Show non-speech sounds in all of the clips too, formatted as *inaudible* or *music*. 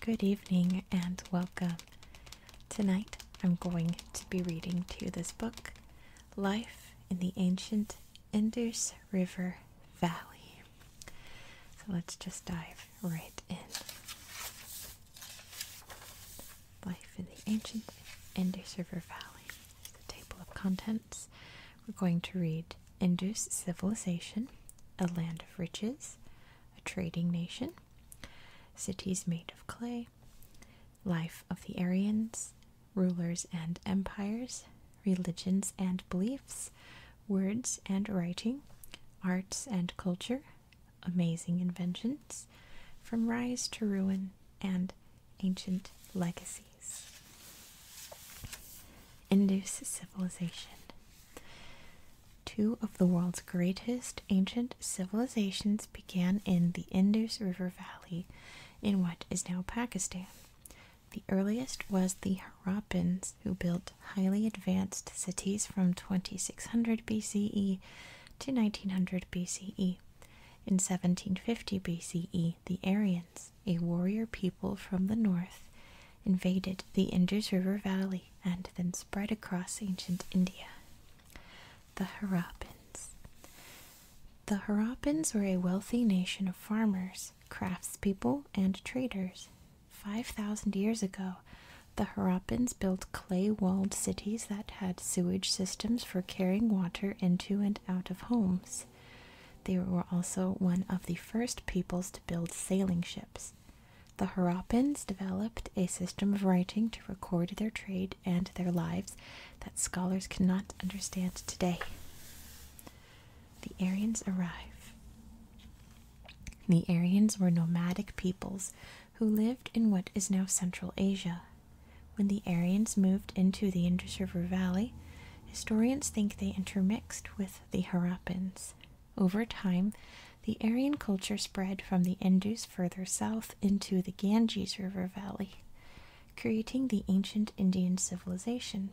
Good evening and welcome. Tonight I'm going to be reading to you this book, Life in the Ancient Indus River Valley. So let's just dive right in. Life in the Ancient Indus River Valley. The table of contents. We're going to read Indus Civilization, a land of riches, a trading nation, cities made of clay, life of the Aryans, rulers and empires, religions and beliefs, words and writing, arts and culture, amazing inventions, from rise to ruin, and ancient legacies. Indus civilization. Two of the world's greatest ancient civilizations began in the Indus River Valley in what is now Pakistan. The earliest was the Harappans, who built highly advanced cities from 2600 BCE to 1900 BCE. In 1750 BCE, the Aryans, a warrior people from the north, invaded the Indus River Valley and then spread across ancient India. The Harappans. The Harappans were a wealthy nation of farmers, craftspeople, and traders. 5,000 years ago, the Harappans built clay walled cities that had sewage systems for carrying water into and out of homes. They were also one of the first peoples to build sailing ships. The Harappans developed a system of writing to record their trade and their lives that scholars cannot understand today. The Aryans arrive. The Aryans were nomadic peoples who lived in what is now Central Asia. When the Aryans moved into the Indus River Valley, historians think they intermixed with the Harappans. Over time, the Aryan culture spread from the Indus further south into the Ganges River Valley, creating the ancient Indian civilization.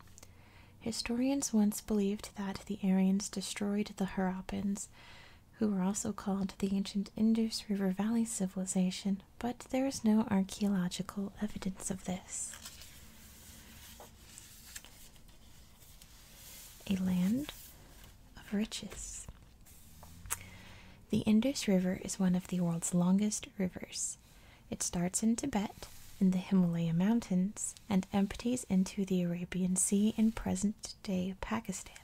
Historians once believed that the Aryans destroyed the Harappans, who were also called the ancient Indus River Valley civilization, but there is no archaeological evidence of this. A land of riches. The Indus River is one of the world's longest rivers. It starts in Tibet in the Himalaya Mountains and empties into the Arabian Sea in present day Pakistan.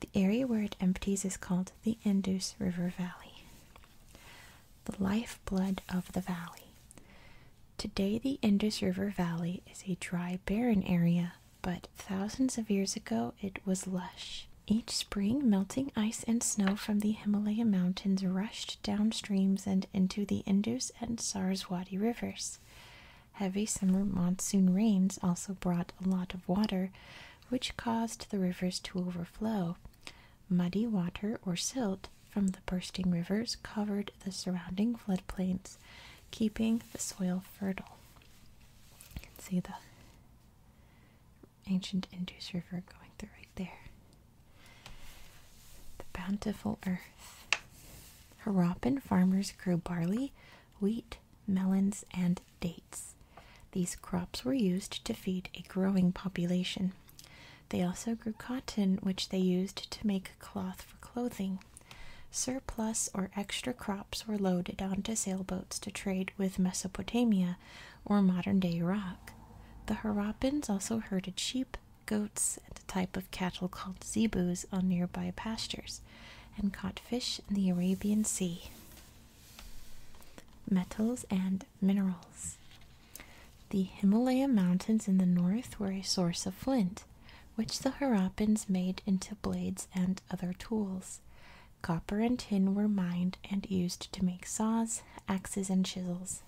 The area where it empties is called the Indus River Valley, the lifeblood of the valley. Today, the Indus River Valley is a dry, barren area, but thousands of years ago it was lush. Each spring, melting ice and snow from the Himalaya mountains rushed down streams and into the Indus and Saraswati rivers. Heavy summer monsoon rains also brought a lot of water, which caused the rivers to overflow. Muddy water or silt from the bursting rivers covered the surrounding floodplains, keeping the soil fertile. see the ancient Indus River going through right there. The bountiful earth. Harappan farmers grew barley, wheat, melons, and dates. These crops were used to feed a growing population. They also grew cotton, which they used to make cloth for clothing. Surplus or extra crops were loaded onto sailboats to trade with Mesopotamia or modern day Iraq. The Harappans also herded sheep, goats, and a type of cattle called zebus on nearby pastures, and caught fish in the Arabian Sea. Metals and minerals. The Himalaya mountains in the north were a source of flint, which the Harappans made into blades and other tools. Copper and tin were mined and used to make saws, axes, and chisels.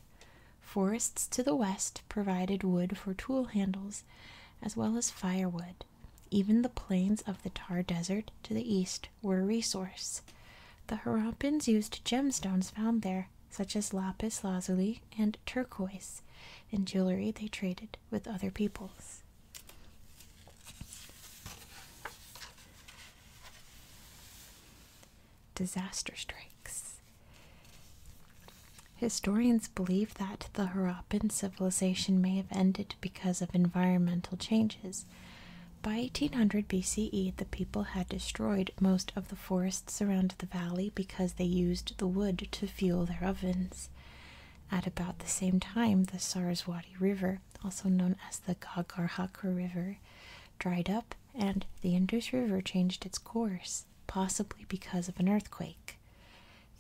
Forests to the west provided wood for tool handles, as well as firewood. Even the plains of the Tar Desert to the east were a resource. The Harappans used gemstones found there, such as lapis lazuli and turquoise, In jewelry they traded with other peoples. Disaster strikes. Historians believe that the Harappan civilization may have ended because of environmental changes by 1800 BCE, the people had destroyed most of the forests around the valley because they used the wood to fuel their ovens. At about the same time, the Saraswati River, also known as the Gagarhaka River, dried up and the Indus River changed its course, possibly because of an earthquake.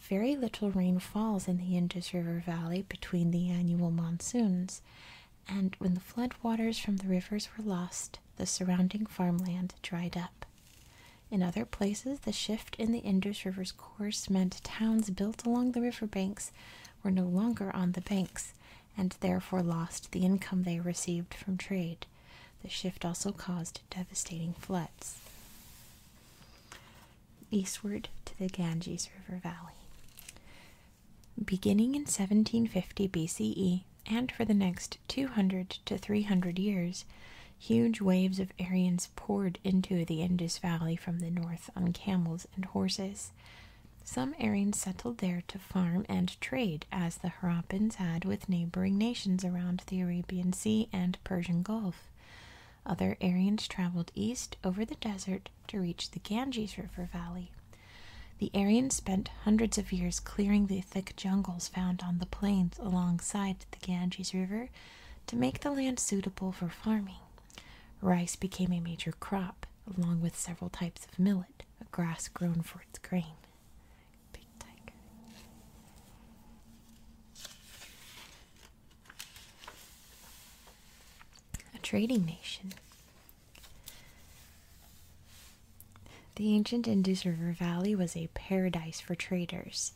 Very little rain falls in the Indus River Valley between the annual monsoons, and when the flood waters from the rivers were lost, the surrounding farmland dried up. In other places, the shift in the Indus River's course meant towns built along the riverbanks were no longer on the banks and therefore lost the income they received from trade. The shift also caused devastating floods. Eastward to the Ganges River Valley. Beginning in 1750 BCE and for the next 200 to 300 years, huge waves of Aryans poured into the Indus Valley from the north on camels and horses. Some Aryans settled there to farm and trade, as the Harappans had with neighboring nations around the Arabian Sea and Persian Gulf. Other Aryans traveled east over the desert to reach the Ganges River Valley. The Aryans spent hundreds of years clearing the thick jungles found on the plains alongside the Ganges River to make the land suitable for farming. Rice became a major crop, along with several types of millet, a grass grown for its grain. Big tiger a trading nation. The ancient Indus River Valley was a paradise for traders.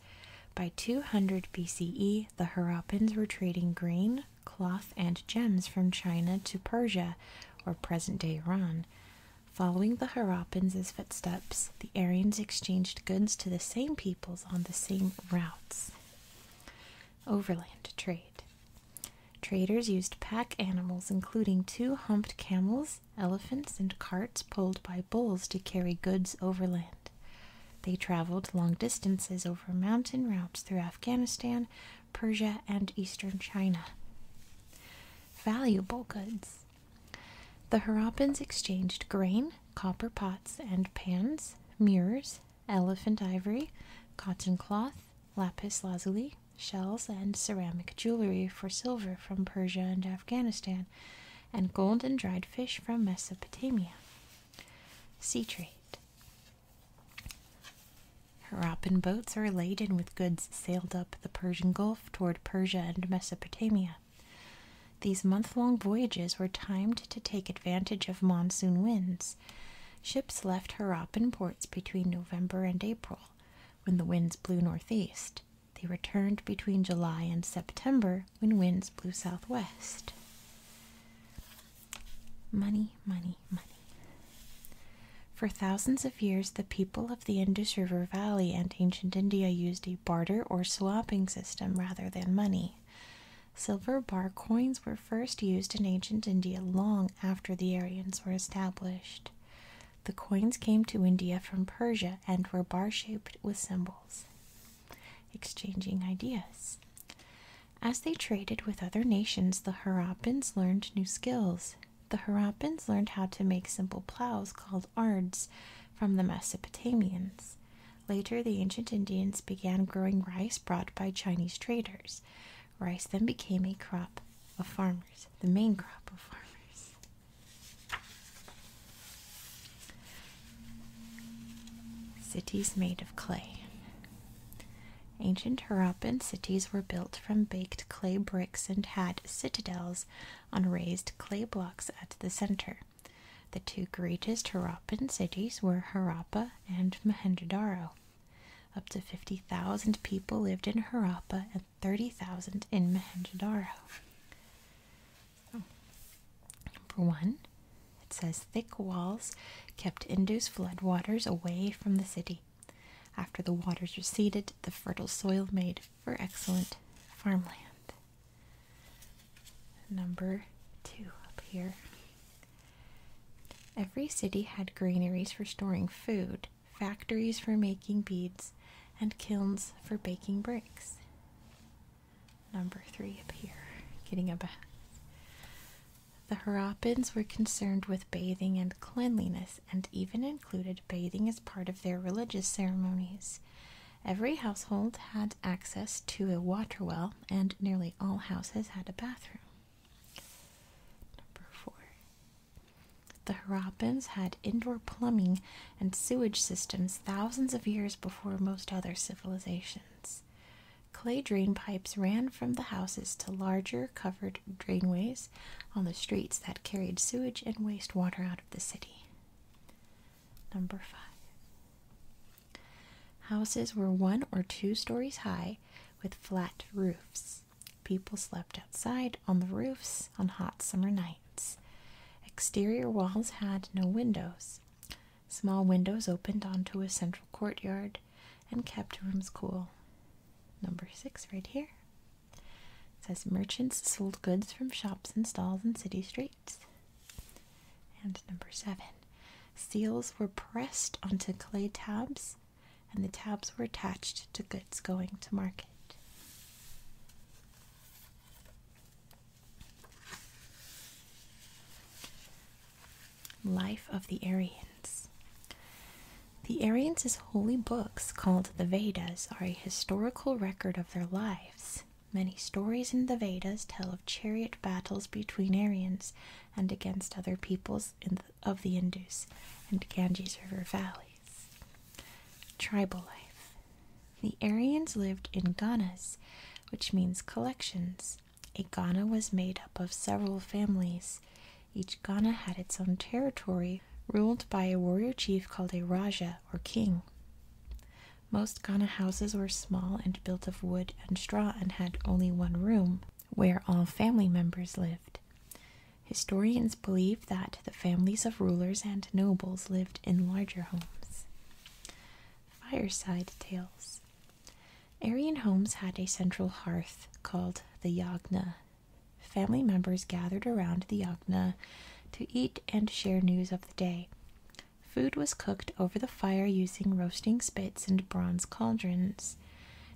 By 200 BCE, the Harappans were trading grain, cloth, and gems from China to Persia, or present day Iran. Following the Harappans' footsteps, the Aryans exchanged goods to the same peoples on the same routes. Overland trade. Traders used pack animals, including two humped camels, elephants, and carts pulled by bulls to carry goods overland. They traveled long distances over mountain routes through Afghanistan, Persia, and eastern China. Valuable goods. The Harappans exchanged grain, copper pots and pans, mirrors, elephant ivory, cotton cloth, lapis lazuli, shells, and ceramic jewelry for silver from Persia and Afghanistan, and gold and dried fish from Mesopotamia. Sea trade. Harappan boats are laden with goods sailed up the Persian Gulf toward Persia and Mesopotamia. These month long voyages were timed to take advantage of monsoon winds. Ships left her in ports between November and April, when the winds blew northeast. They returned between July and September, when winds blew southwest. Money, money, money. For thousands of years, the people of the Indus River Valley and ancient India used a barter or swapping system rather than money. Silver bar coins were first used in ancient India long after the Aryans were established. The coins came to India from Persia and were bar shaped with symbols, exchanging ideas. As they traded with other nations, the Harappans learned new skills. The Harappans learned how to make simple plows called ards from the Mesopotamians. Later, the ancient Indians began growing rice brought by Chinese traders. Rice then became a crop of farmers, the main crop of farmers. Cities made of clay. Ancient Harappan cities were built from baked clay bricks and had citadels on raised clay blocks at the center. The two greatest Harappan cities were Harappa and Mohenjo-daro. Up to 50,000 people lived in Harappa and 30,000 in Mohenjo-daro. number one, it says thick walls kept Indus floodwaters away from the city. After the waters receded, the fertile soil made for excellent farmland. Number two up here Every city had granaries for storing food, factories for making beads, and kilns for baking bricks. Number three up here, getting a bath. The Harappans were concerned with bathing and cleanliness and even included bathing as part of their religious ceremonies. Every household had access to a water well, and nearly all houses had a bathroom. Number four. The Harappans had indoor plumbing and sewage systems thousands of years before most other civilizations. Clay drain pipes ran from the houses to larger covered drainways on the streets that carried sewage and waste water out of the city. Number five. Houses were one or two stories high with flat roofs. People slept outside on the roofs on hot summer nights. Exterior walls had no windows. Small windows opened onto a central courtyard and kept rooms cool. Number six, right here. says merchants sold goods from shops and stalls in city streets. And number seven, seals were pressed onto clay tabs and the tabs were attached to goods going to market. Life of the Aryans. The Aryans' holy books, called the Vedas, are a historical record of their lives. Many stories in the Vedas tell of chariot battles between Aryans and against other peoples of the Indus and Ganges River valleys. Tribal life. The Aryans lived in ghanas, which means collections. A ghana was made up of several families. Each ghana had its own territory, ruled by a warrior chief called a raja or king. Most ghana houses were small and built of wood and straw and had only one room where all family members lived. Historians believe that the families of rulers and nobles lived in larger homes. Fireside Tales Aryan homes had a central hearth called the Yagna. Family members gathered around the Yagna to eat and share news of the day. Food was cooked over the fire using roasting spits and bronze cauldrons.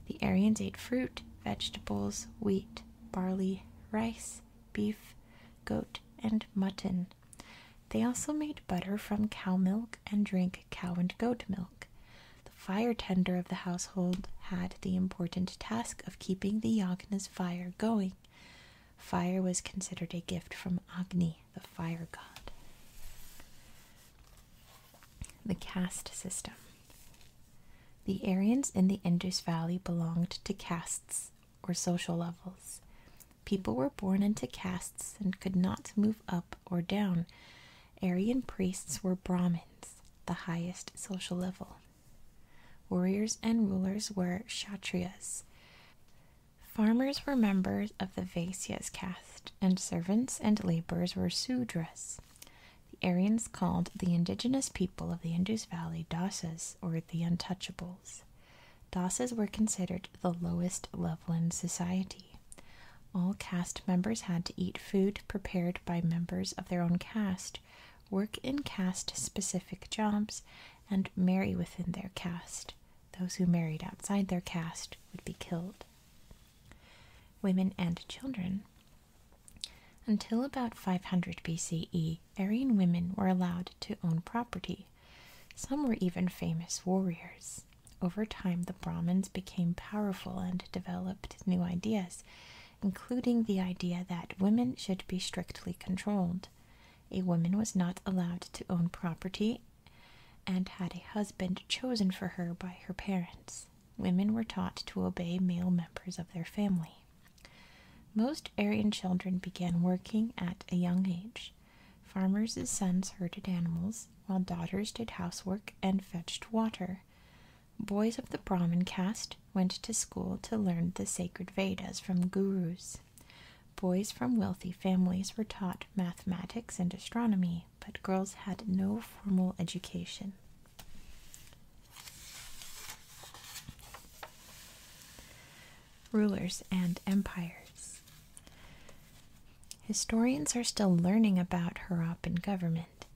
The Aryans ate fruit, vegetables, wheat, barley, rice, beef, goat, and mutton. They also made butter from cow milk and drank cow and goat milk. The fire tender of the household had the important task of keeping the Yagna's fire going. Fire was considered a gift from Agni, the fire god. The caste system. The Aryans in the Indus Valley belonged to castes or social levels. People were born into castes and could not move up or down. Aryan priests were Brahmins, the highest social level. Warriors and rulers were Kshatriyas. Farmers were members of the Vaisyas caste, and servants and laborers were Sudras. The Aryans called the indigenous people of the Indus Valley Dasas or the Untouchables. Dasas were considered the lowest level in society. All caste members had to eat food prepared by members of their own caste, work in caste specific jobs, and marry within their caste. Those who married outside their caste would be killed. Women and children until about 500 BCE, Aryan women were allowed to own property. Some were even famous warriors. Over time, the Brahmins became powerful and developed new ideas, including the idea that women should be strictly controlled. A woman was not allowed to own property and had a husband chosen for her by her parents. Women were taught to obey male members of their family. Most Aryan children began working at a young age. Farmers' sons herded animals, while daughters did housework and fetched water. Boys of the Brahmin caste went to school to learn the sacred Vedas from gurus. Boys from wealthy families were taught mathematics and astronomy but girls had no formal education. Rulers and empires. Historians are still learning about Harappan government.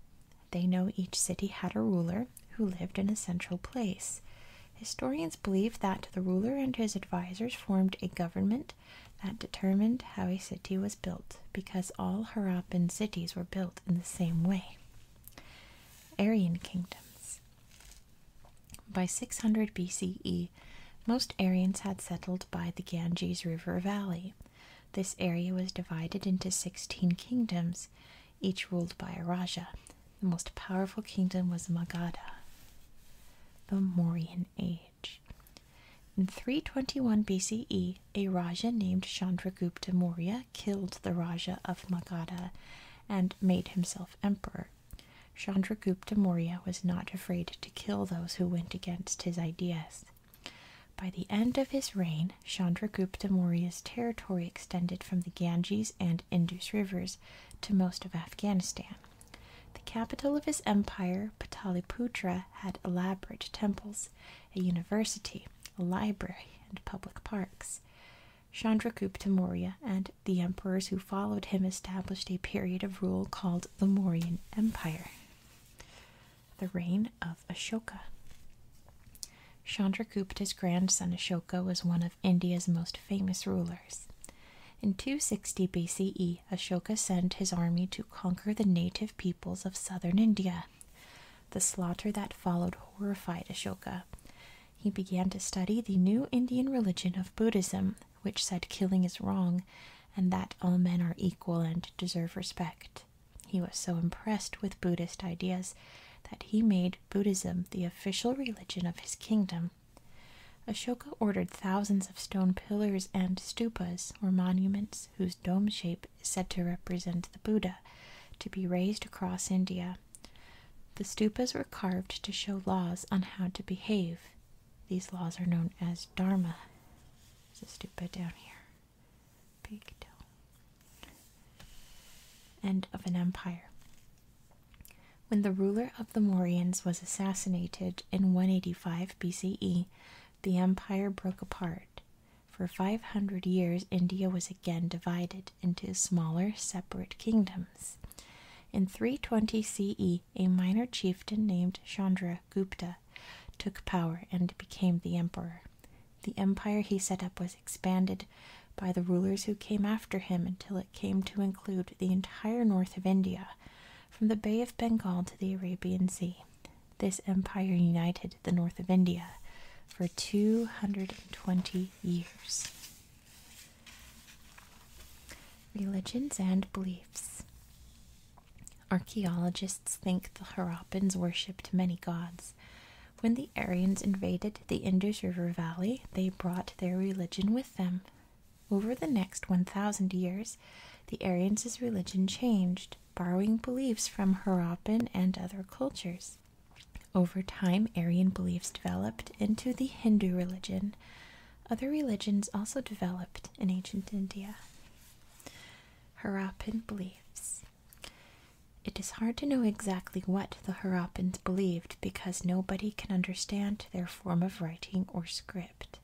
They know each city had a ruler who lived in a central place. Historians believe that the ruler and his advisors formed a government that determined how a city was built because all Harappan and cities were built in the same way. Aryan kingdoms. By 600 BCE, most Aryans had settled by the Ganges River Valley. This area was divided into 16 kingdoms, each ruled by a Raja. The most powerful kingdom was Magadha. The Mauryan Age. In 321 BCE, a Raja named Chandragupta Maurya killed the Raja of Magadha and made himself emperor. Chandragupta Maurya was not afraid to kill those who went against his ideas. By the end of his reign, Chandragupta Maurya's territory extended from the Ganges and Indus rivers to most of Afghanistan. The capital of his empire, Pataliputra, had elaborate temples, a university, library, and public parks. Chandragupta Maurya and the emperors who followed him established a period of rule called the Mauryan Empire. The reign of Ashoka. Chandragupta's grandson Ashoka was one of India's most famous rulers. In 260 BCE, Ashoka sent his army to conquer the native peoples of southern India. The slaughter that followed horrified Ashoka. He began to study the new Indian religion of Buddhism, which said killing is wrong and that all men are equal and deserve respect. He was so impressed with Buddhist ideas that he made Buddhism the official religion of his kingdom. Ashoka ordered thousands of stone pillars and stupas, or monuments, whose dome shape is said to represent the Buddha, to be raised across India. The stupas were carved to show laws on how to behave. These laws are known as Dharma. There's a stupa down here. Pigtail. End of an empire. When the ruler of the Mauryans was assassinated in 185 BCE, the empire broke apart. For 500 years, India was again divided into smaller, separate kingdoms. In 320 CE, a minor chieftain named Chandra Gupta took power and became the emperor. The empire he set up was expanded by the rulers who came after him until it came to include the entire north of India, from the Bay of Bengal to the Arabian Sea. This empire united the north of India for 220 years. Religions and beliefs. Archaeologists think the Harappans worshipped many gods. When the Aryans invaded the Indus River Valley, they brought their religion with them. Over the next 1,000 years, the Aryans' religion changed borrowing beliefs from Harappan and other cultures. Over time, Aryan beliefs developed into the Hindu religion. Other religions also developed in ancient India. Harappan beliefs. It is hard to know exactly what the Harappans believed because nobody can understand their form of writing or script.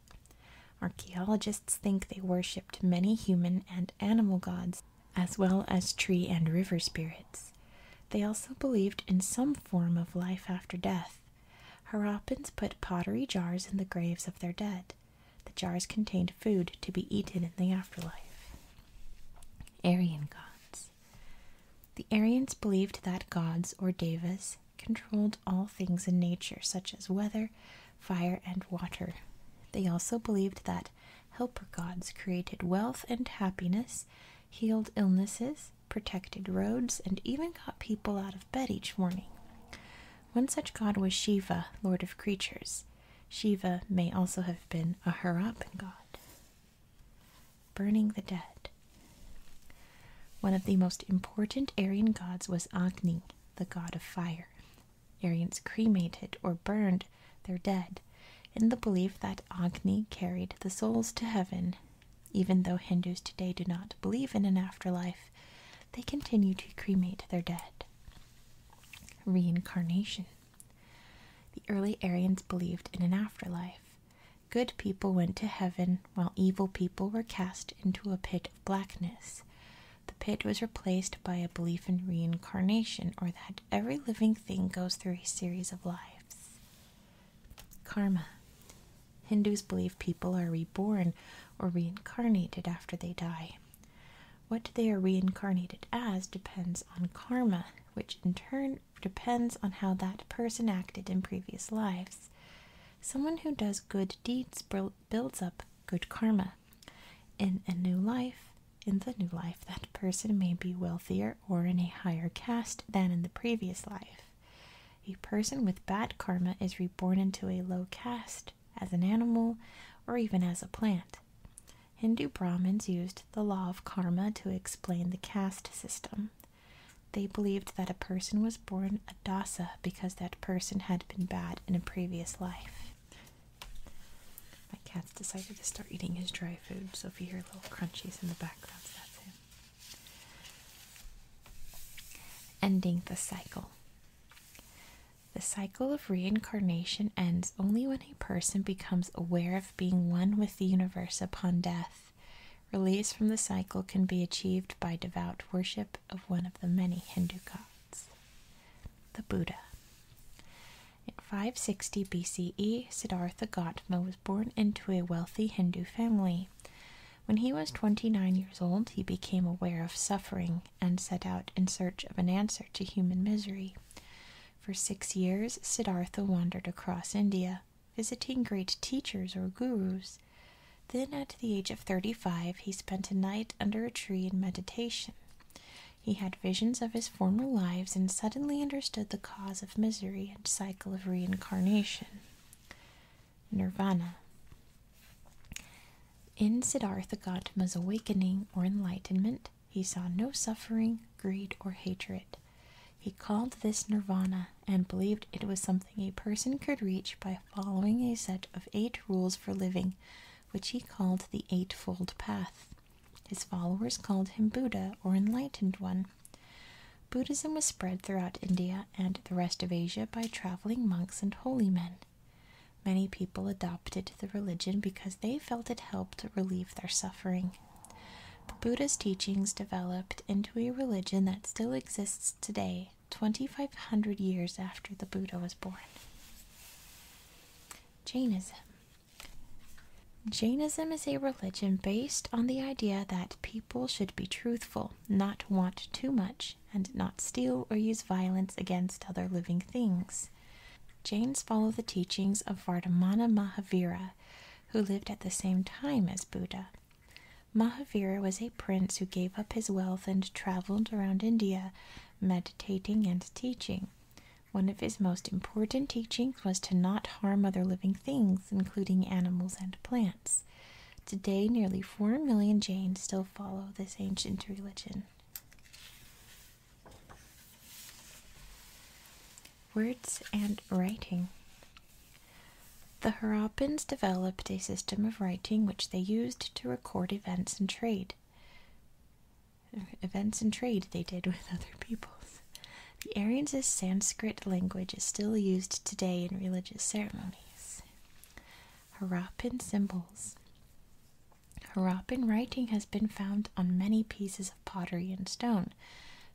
Archaeologists think they worshipped many human and animal gods, as well as tree and river spirits. They also believed in some form of life after death. Harappans put pottery jars in the graves of their dead. The jars contained food to be eaten in the afterlife. Aryan gods. The Aryans believed that gods or devas controlled all things in nature, such as weather, fire, and water. They also believed that helper gods created wealth and happiness, healed illnesses, protected roads, and even got people out of bed each morning. One such god was Shiva, lord of creatures. Shiva may also have been a Harappan god. Burning the dead. One of the most important Aryan gods was Agni, the god of fire. Aryans cremated or burned their dead in the belief that Agni carried the souls to heaven. Even though Hindus today do not believe in an afterlife, they continue to cremate their dead. Reincarnation. The early Aryans believed in an afterlife. Good people went to heaven, while evil people were cast into a pit of blackness. The pit was replaced by a belief in reincarnation, or that every living thing goes through a series of lives. Karma Hindus believe people are reborn or reincarnated after they die. What they are reincarnated as depends on karma, which in turn depends on how that person acted in previous lives. Someone who does good deeds builds up good karma. In a new life, in the new life, that person may be wealthier or in a higher caste than in the previous life. A person with bad karma is reborn into a low caste, as an animal, or even as a plant. Hindu Brahmins used the law of karma to explain the caste system. They believed that a person was born a dasa because that person had been bad in a previous life. My cat's decided to start eating his dry food, so if you hear little crunchies in the background, that's him. Ending the cycle. The cycle of reincarnation ends only when a person becomes aware of being one with the universe upon death. Release from the cycle can be achieved by devout worship of one of the many Hindu gods, the Buddha. In 560 BCE, Siddhartha Gautama was born into a wealthy Hindu family. When he was 29 years old, he became aware of suffering and set out in search of an answer to human misery. For six years, Siddhartha wandered across India, visiting great teachers or gurus. Then, at the age of 35, he spent a night under a tree in meditation. He had visions of his former lives and suddenly understood the cause of misery and cycle of reincarnation. Nirvana. In Siddhartha Gautama's awakening or enlightenment, he saw no suffering, greed, or hatred. He called this nirvana and believed it was something a person could reach by following a set of eight rules for living, which he called the Eightfold Path. His followers called him Buddha or Enlightened One. Buddhism was spread throughout India and the rest of Asia by traveling monks and holy men. Many people adopted the religion because they felt it helped relieve their suffering. But Buddha's teachings developed into a religion that still exists today, 2500 years after the Buddha was born. Jainism Jainism is a religion based on the idea that people should be truthful, not want too much, and not steal or use violence against other living things. Jains follow the teachings of Vardhamana Mahavira, who lived at the same time as Buddha. Mahavira was a prince who gave up his wealth and traveled around India, meditating and teaching. One of his most important teachings was to not harm other living things, including animals and plants. Today, nearly 4 million Jains still follow this ancient religion. Words and writing. The Harappans developed a system of writing which they used to record events and trade events and trade they did with *laughs* other peoples. The Aryan's Sanskrit language is still used today in religious ceremonies. Harappan symbols. Harappan writing has been found on many pieces of pottery and stone.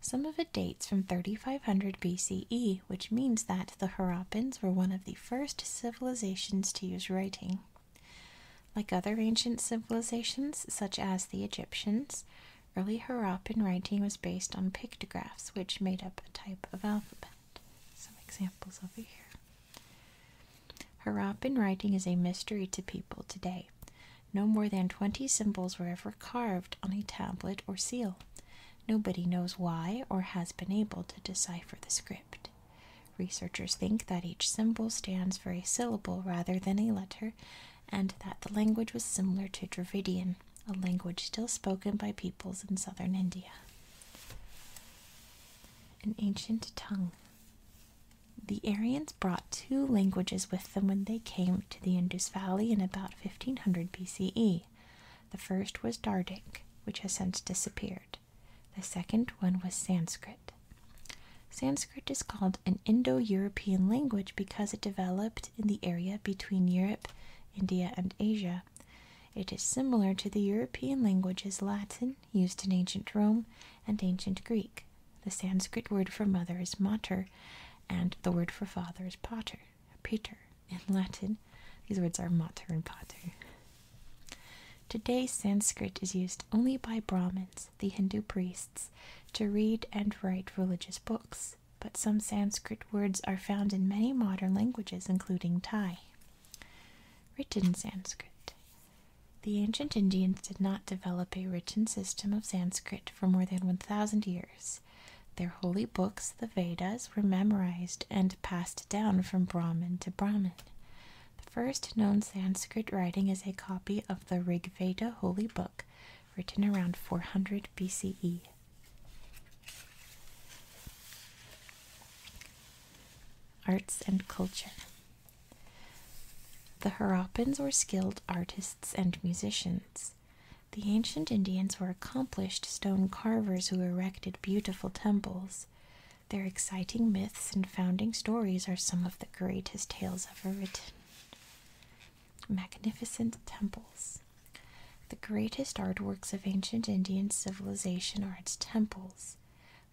Some of it dates from 3500 BCE, which means that the Harappans were one of the first civilizations to use writing. Like other ancient civilizations, such as the Egyptians, early Harappan writing was based on pictographs, which made up a type of alphabet. Some examples over here. Harappan writing is a mystery to people today. No more than 20 symbols were ever carved on a tablet or seal. Nobody knows why or has been able to decipher the script. Researchers think that each symbol stands for a syllable rather than a letter, and that the language was similar to Dravidian, a language still spoken by peoples in southern India. An ancient tongue. The Aryans brought two languages with them when they came to the Indus Valley in about 1500 BCE. The first was Dardic, which has since disappeared. The second one was Sanskrit. Sanskrit is called an Indo European language because it developed in the area between Europe, India, and Asia. It is similar to the European languages Latin, used in ancient Rome, and ancient Greek. The Sanskrit word for mother is mater, and the word for father is pater, Peter. in Latin. These words are mater and pater. Today, Sanskrit is used only by Brahmins the Hindu priests, to read and write religious books, but some Sanskrit words are found in many modern languages, including Thai. Written Sanskrit. The ancient Indians did not develop a written system of Sanskrit for more than 1,000 years. Their holy books, the Vedas, were memorized and passed down from Brahmin to Brahmin. The first known Sanskrit writing is a copy of the Rig Veda holy book, written around 400 BCE. Arts and culture. The Harappans were skilled artists and musicians. The ancient Indians were accomplished stone carvers who erected beautiful temples. Their exciting myths and founding stories are some of the greatest tales ever written. Magnificent temples. The greatest artworks of ancient Indian civilization are its temples.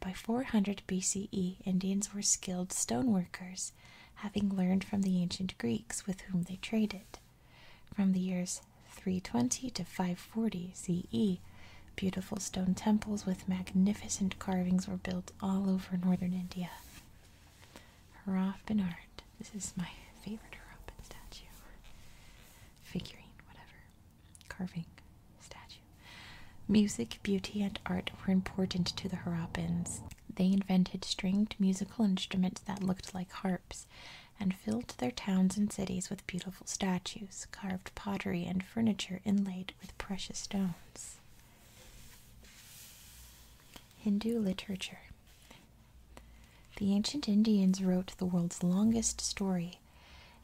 By 400 BCE, Indians were skilled stone workers, having learned from the ancient Greeks with whom they traded. From the years 320 to 540 CE, beautiful stone temples with magnificent carvings were built all over northern India. Hurrah Bernard. This is my favorite Hurrah statue. Figurine, whatever. Carving statue. Music, beauty, and art were important to the Harappans. They invented stringed musical instruments that looked like harps and filled their towns and cities with beautiful statues, carved pottery, and furniture inlaid with precious stones. Hindu literature. The ancient Indians wrote the world's longest story.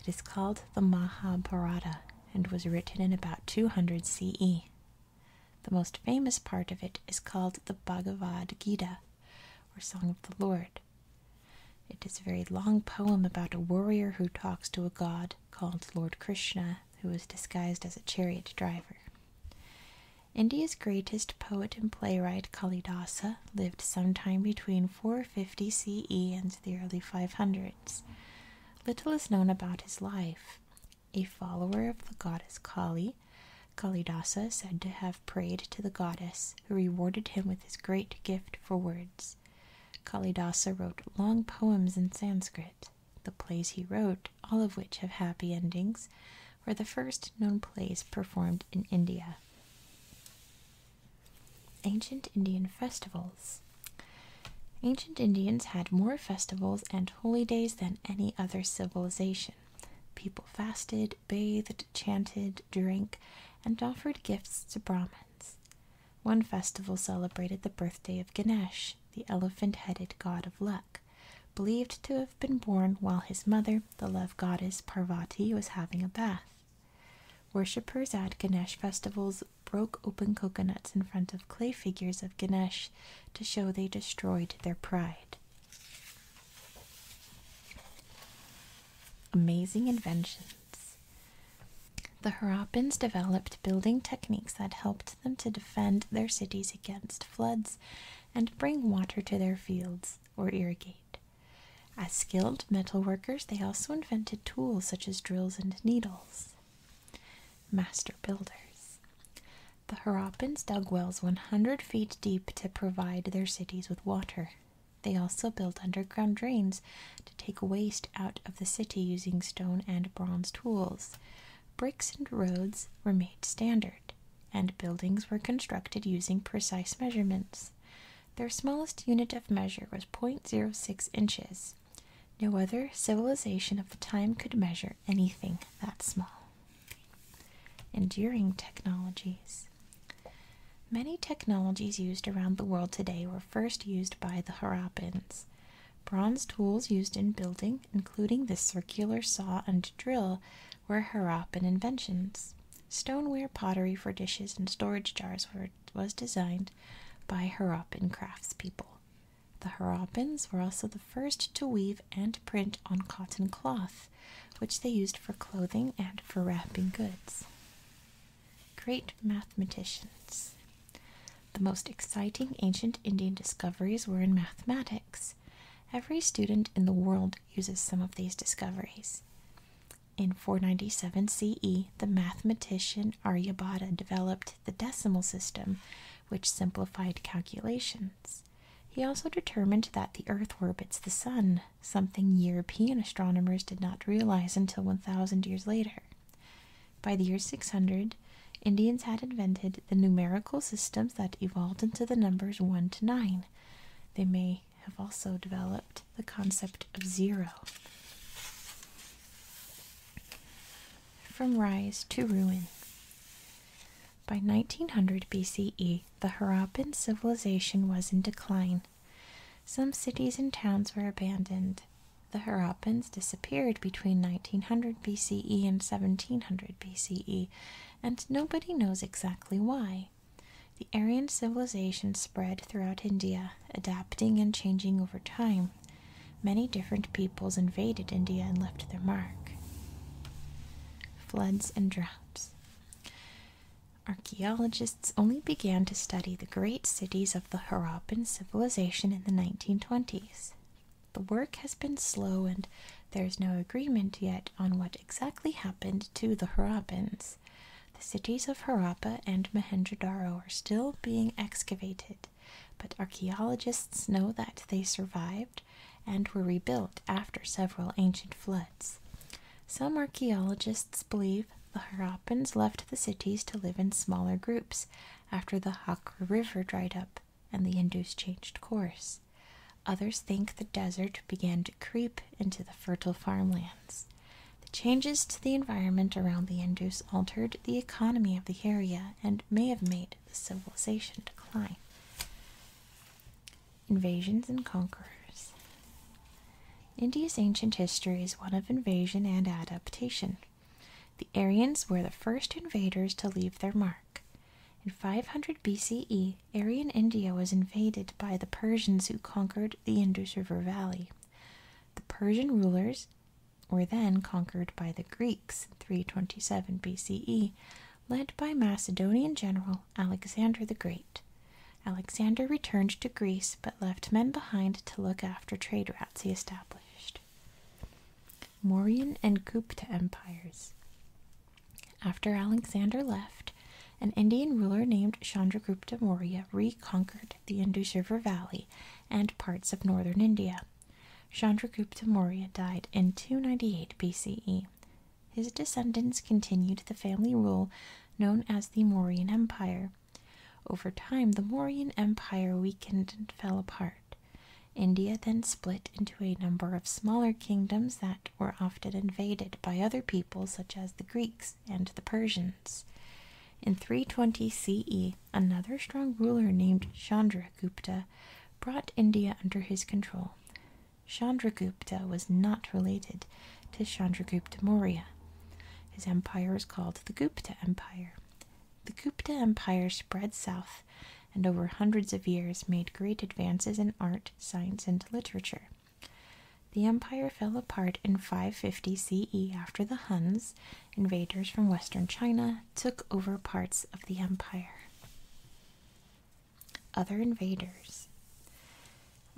It is called the Mahabharata and was written in about 200 CE. The most famous part of it is called the Bhagavad Gita, or Song of the Lord. It is a very long poem about a warrior who talks to a god called Lord Krishna, who was disguised as a chariot driver. India's greatest poet and playwright Kalidasa lived sometime between 450 CE and the early 500s. Little is known about his life. A follower of the goddess Kali, Kalidasa is said to have prayed to the goddess, who rewarded him with his great gift for words. Kalidasa wrote long poems in Sanskrit. The plays he wrote, all of which have happy endings, were the first known plays performed in India. Ancient Indian Festivals Ancient Indians had more festivals and holy days than any other civilization. People fasted, bathed, chanted, drank, and offered gifts to Brahmins. One festival celebrated the birthday of Ganesh, the elephant headed god of luck, believed to have been born while his mother, the love goddess Parvati, was having a bath. Worshippers at Ganesh festivals broke open coconuts in front of clay figures of Ganesh to show they destroyed their pride. Amazing inventions. The Harappans developed building techniques that helped them to defend their cities against floods and bring water to their fields or irrigate. As skilled metal workers, they also invented tools such as drills and needles. Master builders. The Harappans dug wells 100 feet deep to provide their cities with water. They also built underground drains to take waste out of the city using stone and bronze tools bricks and roads were made standard, and buildings were constructed using precise measurements. Their smallest unit of measure was 0.06 inches. No other civilization of the time could measure anything that small. Enduring technologies. Many technologies used around the world today were first used by the Harappans. Bronze tools used in building including the circular saw and drill, were Harappan inventions. Stoneware pottery for dishes and storage jars were, was designed by Harappan craftspeople. The Harappans were also the first to weave and print on cotton cloth, which they used for clothing and for wrapping goods. Great mathematicians. The most exciting ancient Indian discoveries were in mathematics. Every student in the world uses some of these discoveries. In 497 CE, the mathematician Aryabhata developed the decimal system, which simplified calculations. He also determined that the Earth orbits the Sun, something European astronomers did not realize until 1,000 years later. By the year 600, Indians had invented the numerical systems that evolved into the numbers 1 to 9. They may have also developed the concept of zero. From Rise to Ruin. By 1900 BCE, the Harappan civilization was in decline. Some cities and towns were abandoned. The Harappans disappeared between 1900 BCE and 1700 BCE, and nobody knows exactly why. The Aryan civilization spread throughout India, adapting and changing over time. Many different peoples invaded India and left their mark. Floods and droughts. Archaeologists only began to study the great cities of the Harappan civilization in the 1920s. The work has been slow and there's no agreement yet on what exactly happened to the Harappans. The cities of Harappa and Mohenjo-daro are still being excavated, but archaeologists know that they survived and were rebuilt after several ancient floods. Some archaeologists believe the Harappans left the cities to live in smaller groups after the Hakra River dried up and the Indus changed course. Others think the desert began to creep into the fertile farmlands. The changes to the environment around the Indus altered the economy of the area and may have made the civilization decline. Invasions and Conquerors India's ancient history is one of invasion and adaptation. The Aryans were the first invaders to leave their mark. In 500 BCE, Aryan India was invaded by the Persians who conquered the Indus River Valley. The Persian rulers were then conquered by the Greeks in 327 BCE, led by Macedonian general Alexander the Great. Alexander returned to Greece but left men behind to look after trade routes he established. Mauryan and Gupta empires. After Alexander left, an Indian ruler named Chandragupta Maurya reconquered the Indus River Valley and parts of northern India. Chandragupta Maurya died in 298 BCE. His descendants continued the family rule known as the Mauryan Empire. Over time, the Mauryan Empire weakened and fell apart. India then split into a number of smaller kingdoms that were often invaded by other peoples, such as the Greeks and the Persians. In 320 CE, another strong ruler named Chandragupta brought India under his control. Chandragupta was not related to Chandragupta Maurya. His empire is called the Gupta Empire. The Gupta Empire spread south and over hundreds of years made great advances in art, science, and literature. The empire fell apart in 550 CE after the Huns, invaders from western China, took over parts of the empire. Other invaders.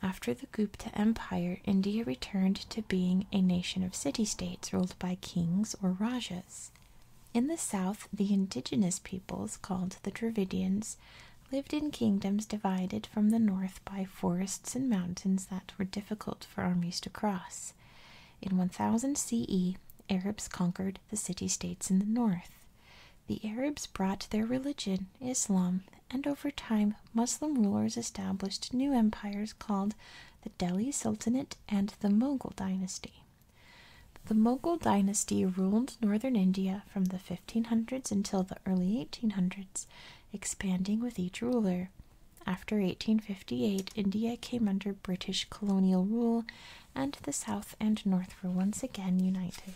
After the Gupta Empire, India returned to being a nation of city states ruled by kings or rajas. In the south, the indigenous peoples, called the Dravidians, lived in kingdoms divided from the north by forests and mountains that were difficult for armies to cross. In 1000 CE, Arabs conquered the city states in the north. The Arabs brought their religion, Islam, and over time, Muslim rulers established new empires called the Delhi Sultanate and the Mughal dynasty. The Mughal dynasty ruled northern India from the 1500s until the early 1800s, expanding with each ruler. After 1858, India came under British colonial rule, and the south and north were once again united.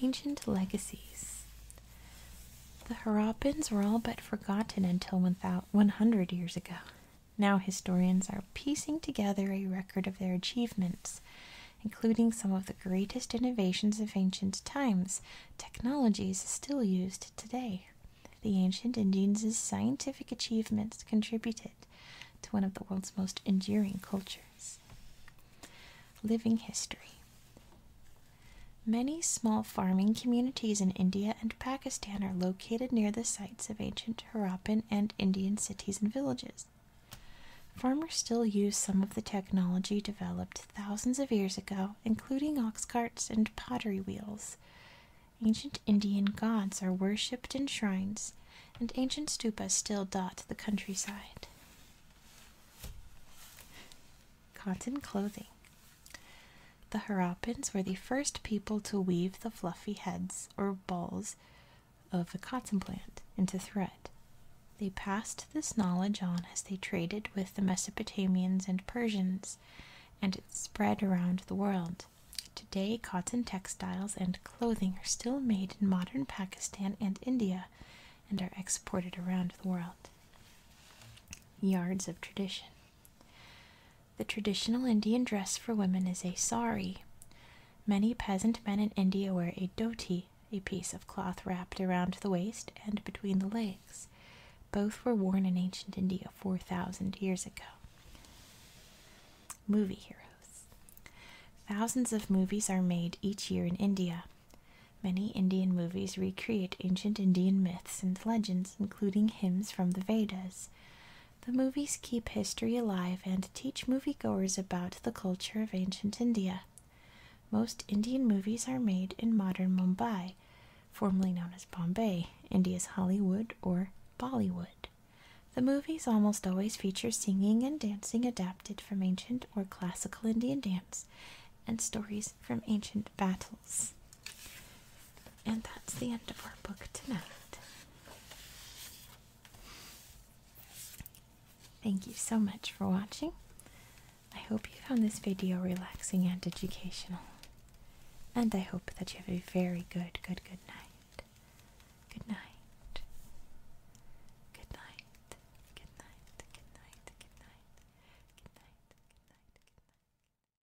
Ancient Legacies the Harappans were all but forgotten until 100 years ago. Now historians are piecing together a record of their achievements, including some of the greatest innovations of ancient times, technologies still used today. The ancient Indians' scientific achievements contributed to one of the world's most enduring cultures. Living history. Many small farming communities in India and Pakistan are located near the sites of ancient Harappan and Indian cities and villages. Farmers still use some of the technology developed thousands of years ago, including ox carts and pottery wheels. Ancient Indian gods are worshipped in shrines, and ancient stupas still dot the countryside. Cotton clothing. The Harappans were the first people to weave the fluffy heads or balls of the cotton plant into thread. They passed this knowledge on as they traded with the Mesopotamians and Persians, and it spread around the world. Today, cotton textiles and clothing are still made in modern Pakistan and India and are exported around the world. Yards of Tradition the traditional Indian dress for women is a sari. Many peasant men in India wear a dhoti, a piece of cloth wrapped around the waist and between the legs. Both were worn in ancient India 4,000 years ago. Movie heroes. Thousands of movies are made each year in India. Many Indian movies recreate ancient Indian myths and legends, including hymns from the Vedas. The movies keep history alive and teach moviegoers about the culture of ancient India. Most Indian movies are made in modern Mumbai, formerly known as Bombay, India's Hollywood or Bollywood. The movies almost always feature singing and dancing adapted from ancient or classical Indian dance and stories from ancient battles. And that's the end of our book tonight. Thank you so much for watching. I hope you found this video relaxing and educational. And I hope that you have a very good, good, Good night. Good night. Good night. Good night. Good night. Good night. Good night. Good night. Good night.